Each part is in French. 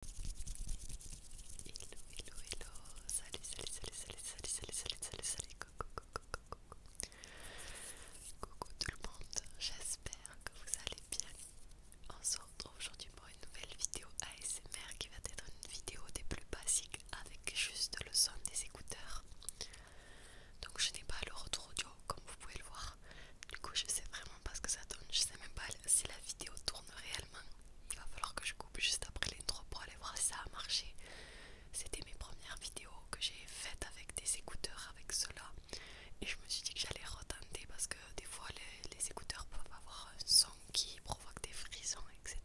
Hello, hello, hello, salut, salut, salut, salut, salut, salut, salut, salut, salut, coucou, tout le monde, j'espère que vous allez bien. On se retrouve aujourd'hui pour une nouvelle vidéo ASMR qui va être une vidéo des plus basiques avec juste le son des écouteurs. Donc je n'ai pas le retour audio comme vous pouvez le voir. Du coup je sais vraiment parce que ça tourne Je sais même pas si la vidéo tourne réellement. Il va falloir que je coupe juste après l'intro pour aller voir si ça a marché. C'était mes premières vidéos que j'ai faites avec des écouteurs, avec cela. Et je me suis dit que j'allais retenter parce que des fois les, les écouteurs peuvent avoir un son qui provoque des frissons, etc.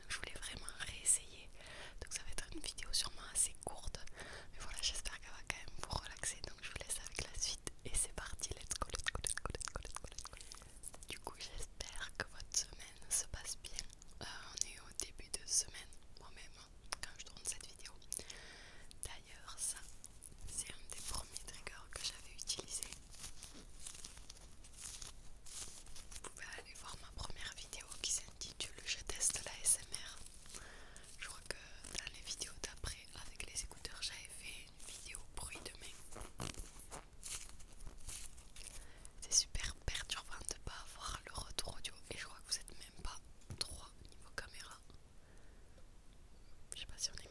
Donc je voulais vraiment réessayer. Donc ça va être une vidéo sûrement assez courte. Mais voilà, j'espère qu'elle va quand même vous relaxer je vous laisse avec la suite et c'est parti, let's go, let's go, let's go, let's go, let's go, let's go. Du coup j'espère que votre semaine se passe bien. Euh, on est au début de semaine, moi-même, hein, quand je tourne cette vidéo. D'ailleurs ça, c'est un des premiers triggers que j'avais utilisé. Vous pouvez aller voir ma première vidéo qui s'intitule Je teste la SMR. Je crois que dans les vidéos d'après avec les écouteurs j'avais fait vidéo bruit de main. C'est super perturbant de pas avoir le retour audio et je crois que vous êtes même pas trois niveau caméra. Je sais pas si on est mieux.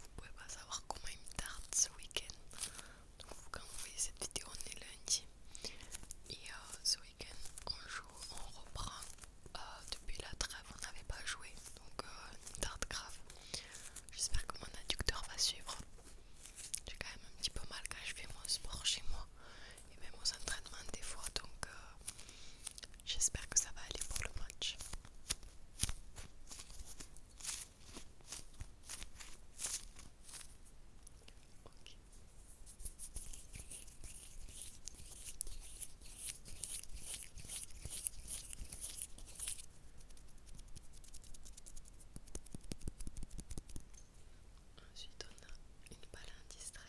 Vous pouvez pas savoir comment il me tarde ce week-end. Donc quand vous voyez cette vidéo, on est lundi. Et euh, ce week-end, on joue, on reprend euh, depuis la trêve on n'avait pas joué donc euh, une grave j'espère que mon adducteur va suivre j'ai quand même un petit peu mal quand je fais mon sport chez moi et même aux entraînement des fois donc euh, j'espère que ça va aller pour le match Ensuite, on a une balle indistresse.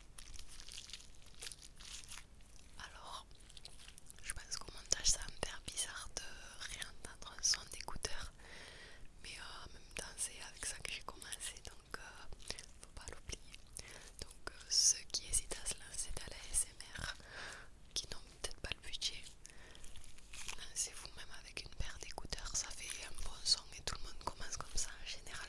Alors, je pense qu'au montage ça va me faire bizarre de réentendre un son d'écouteur, mais euh, en même temps c'est avec ça que j'ai commencé donc euh, faut pas l'oublier. Donc, euh, ceux qui hésitent à se lancer dans la SMR, qui n'ont peut-être pas le budget, lancez-vous même avec une paire d'écouteurs, ça fait un bon son et tout le monde commence comme ça en général.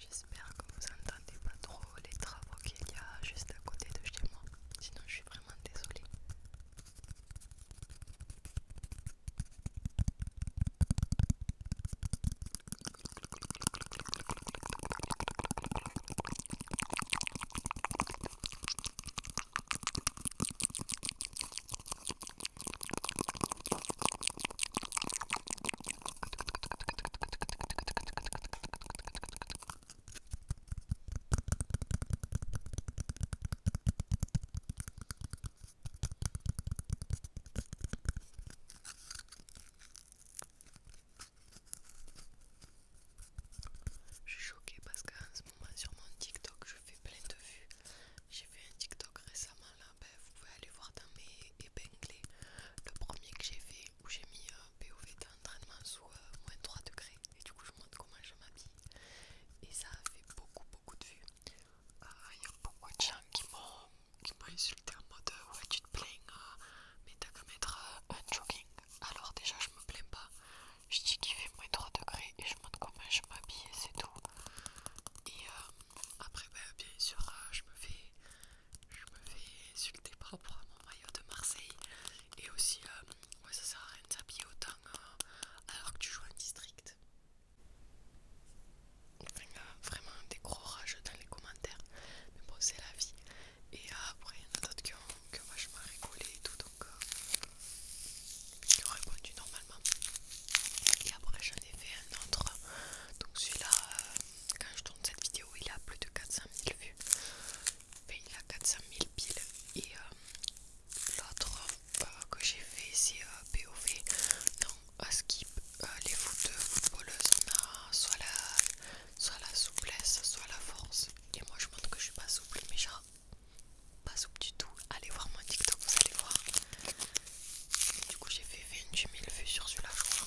J'espère que vous n'entendez pas trop les travaux qu'il y a juste à côté de chez moi, sinon je suis vraiment désolée. Je suis choquée parce qu'en ce moment sur mon TikTok je fais plein de vues j'ai fait un TikTok récemment là, ben, vous pouvez aller voir dans mes épinglés le premier que j'ai fait où j'ai mis un euh, POV d'entraînement sous soit euh, moins 3 degrés et du coup je montre comment je m'habille et ça a fait beaucoup beaucoup de vues. Ah, il y a beaucoup de gens qui m'ont insulté en mode euh, ouais tu te plains mais t'as qu'à mettre un jogging alors déjà je me plains pas je dis qu'il fait moins 3 degrés et je montre comment je m'habille et c'est tout. Et euh, après, bah, bien sûr, euh, je me fais je me fais insulter par rapport à mon maillot de Marseille. Et aussi, euh, ouais, ça sert à rien de s'habiller autant alors que tu joues en district. y a vraiment des gros rages dans les commentaires. Mais bon, c'est la vie. Et après, il y en a d'autres qui ont, qui ont vachement rigolé et tout donc qui ont répondu normalement et après j'en ai fait un autre donc celui-là euh, quand je tourne cette vidéo il a plus de 400 000 vues il a 400 000 piles et euh, l'autre euh, que j'ai fait c'est POV non, à skip les foot footballeuses on a soit la, soit la souplesse soit la force et moi je montre que je suis pas souple mais genre pas soupe du tout. Allez voir mon TikTok, vous allez voir. Du coup, j'ai fait 28 000 vues sur celui-là, je crois.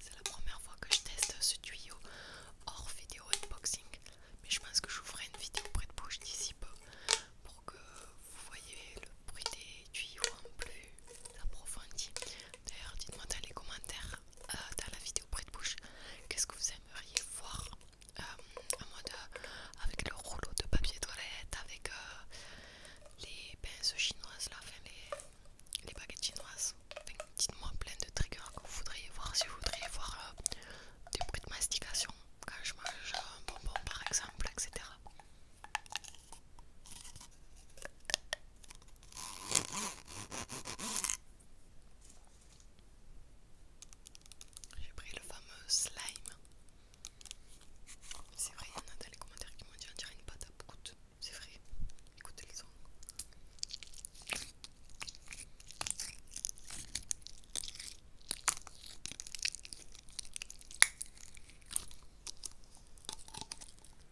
C'est la première fois que je teste ce tuyau hors vidéo unboxing, mais je pense que je ferai une vidéo près de bouche d'ici peu pour que vous voyez le bruit des tuyaux en plus approfondi. D'ailleurs, dites-moi dans les commentaires euh, dans la vidéo près de bouche qu'est-ce que vous aimeriez voir euh, mode euh, avec le rouleau de papier toilette, avec les pinces chinoises, là, enfin, les, baguettes chinoises. Dites-moi plein de triggers que vous voudriez voir, si vous voudriez voir des bruits de mastication quand je mange un bonbon par exemple, etc. J'ai pris le fameux slime. C'est vrai, il y en a dans les commentaires qui m'ont dit on dirait une pâte à C'est vrai, écoutez le son.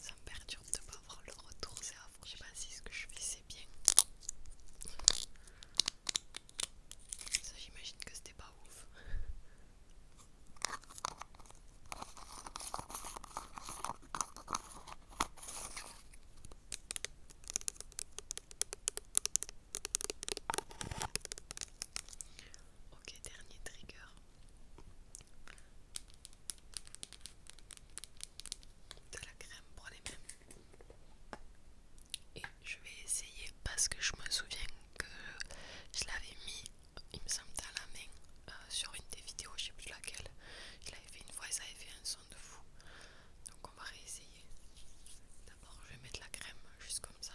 Ça me perturbe de pas voir le retour, c'est avant, je sais pas si ce que je fais c'est bien. Ça j'imagine que c'était pas ouf. Ok, dernier trigger. De la crème pour les mains. Et je vais essayer parce que je me souviens que je l'avais mis, il me semble, à la main euh, sur une des vidéos, je sais plus laquelle. Je l'avais fait une fois, ça avait fait un son de fou. Donc on va réessayer. D'abord je vais mettre la crème juste comme ça.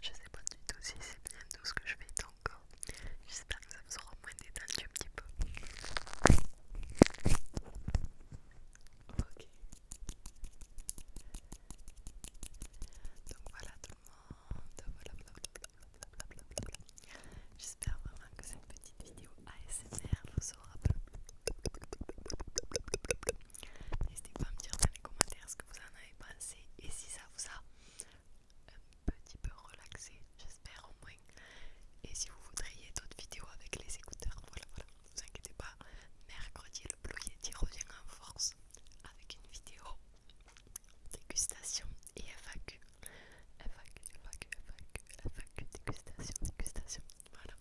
Je sais pas du tout si c'est bien tout ce que je fais donc J'espère que ça vous aura moins détendu un petit peu. Ok. Donc voilà tout le monde. J'espère vraiment que cette petite vidéo ASMR vous N'hésitez pas à me dire dans les commentaires ce que vous en avez pensé et si ça vous a un petit peu relaxé, j'espère au moins. Et si vous voudriez d'autres vidéos avec les écouteurs, voilà, voilà, ne vous inquiétez pas. Mercredi, le Blue Yeti revient en force avec une vidéo dégustation et FAQ FAQ, FAQ, FAQ, FAQ, dégustation, dégustation. Voilà.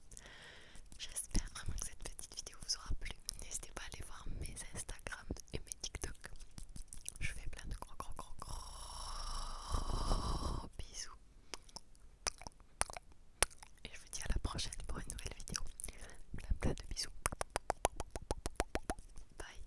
J'espère vraiment que cette petite vidéo vous aura plu. N'hésitez pas à aller voir mes Instagram et mes TikTok. Je fais plein de gros, gros, gros, gros bisous. Et je vous dis à la prochaine pour une nouvelle vidéo. Plein, plein de bisous. Bye.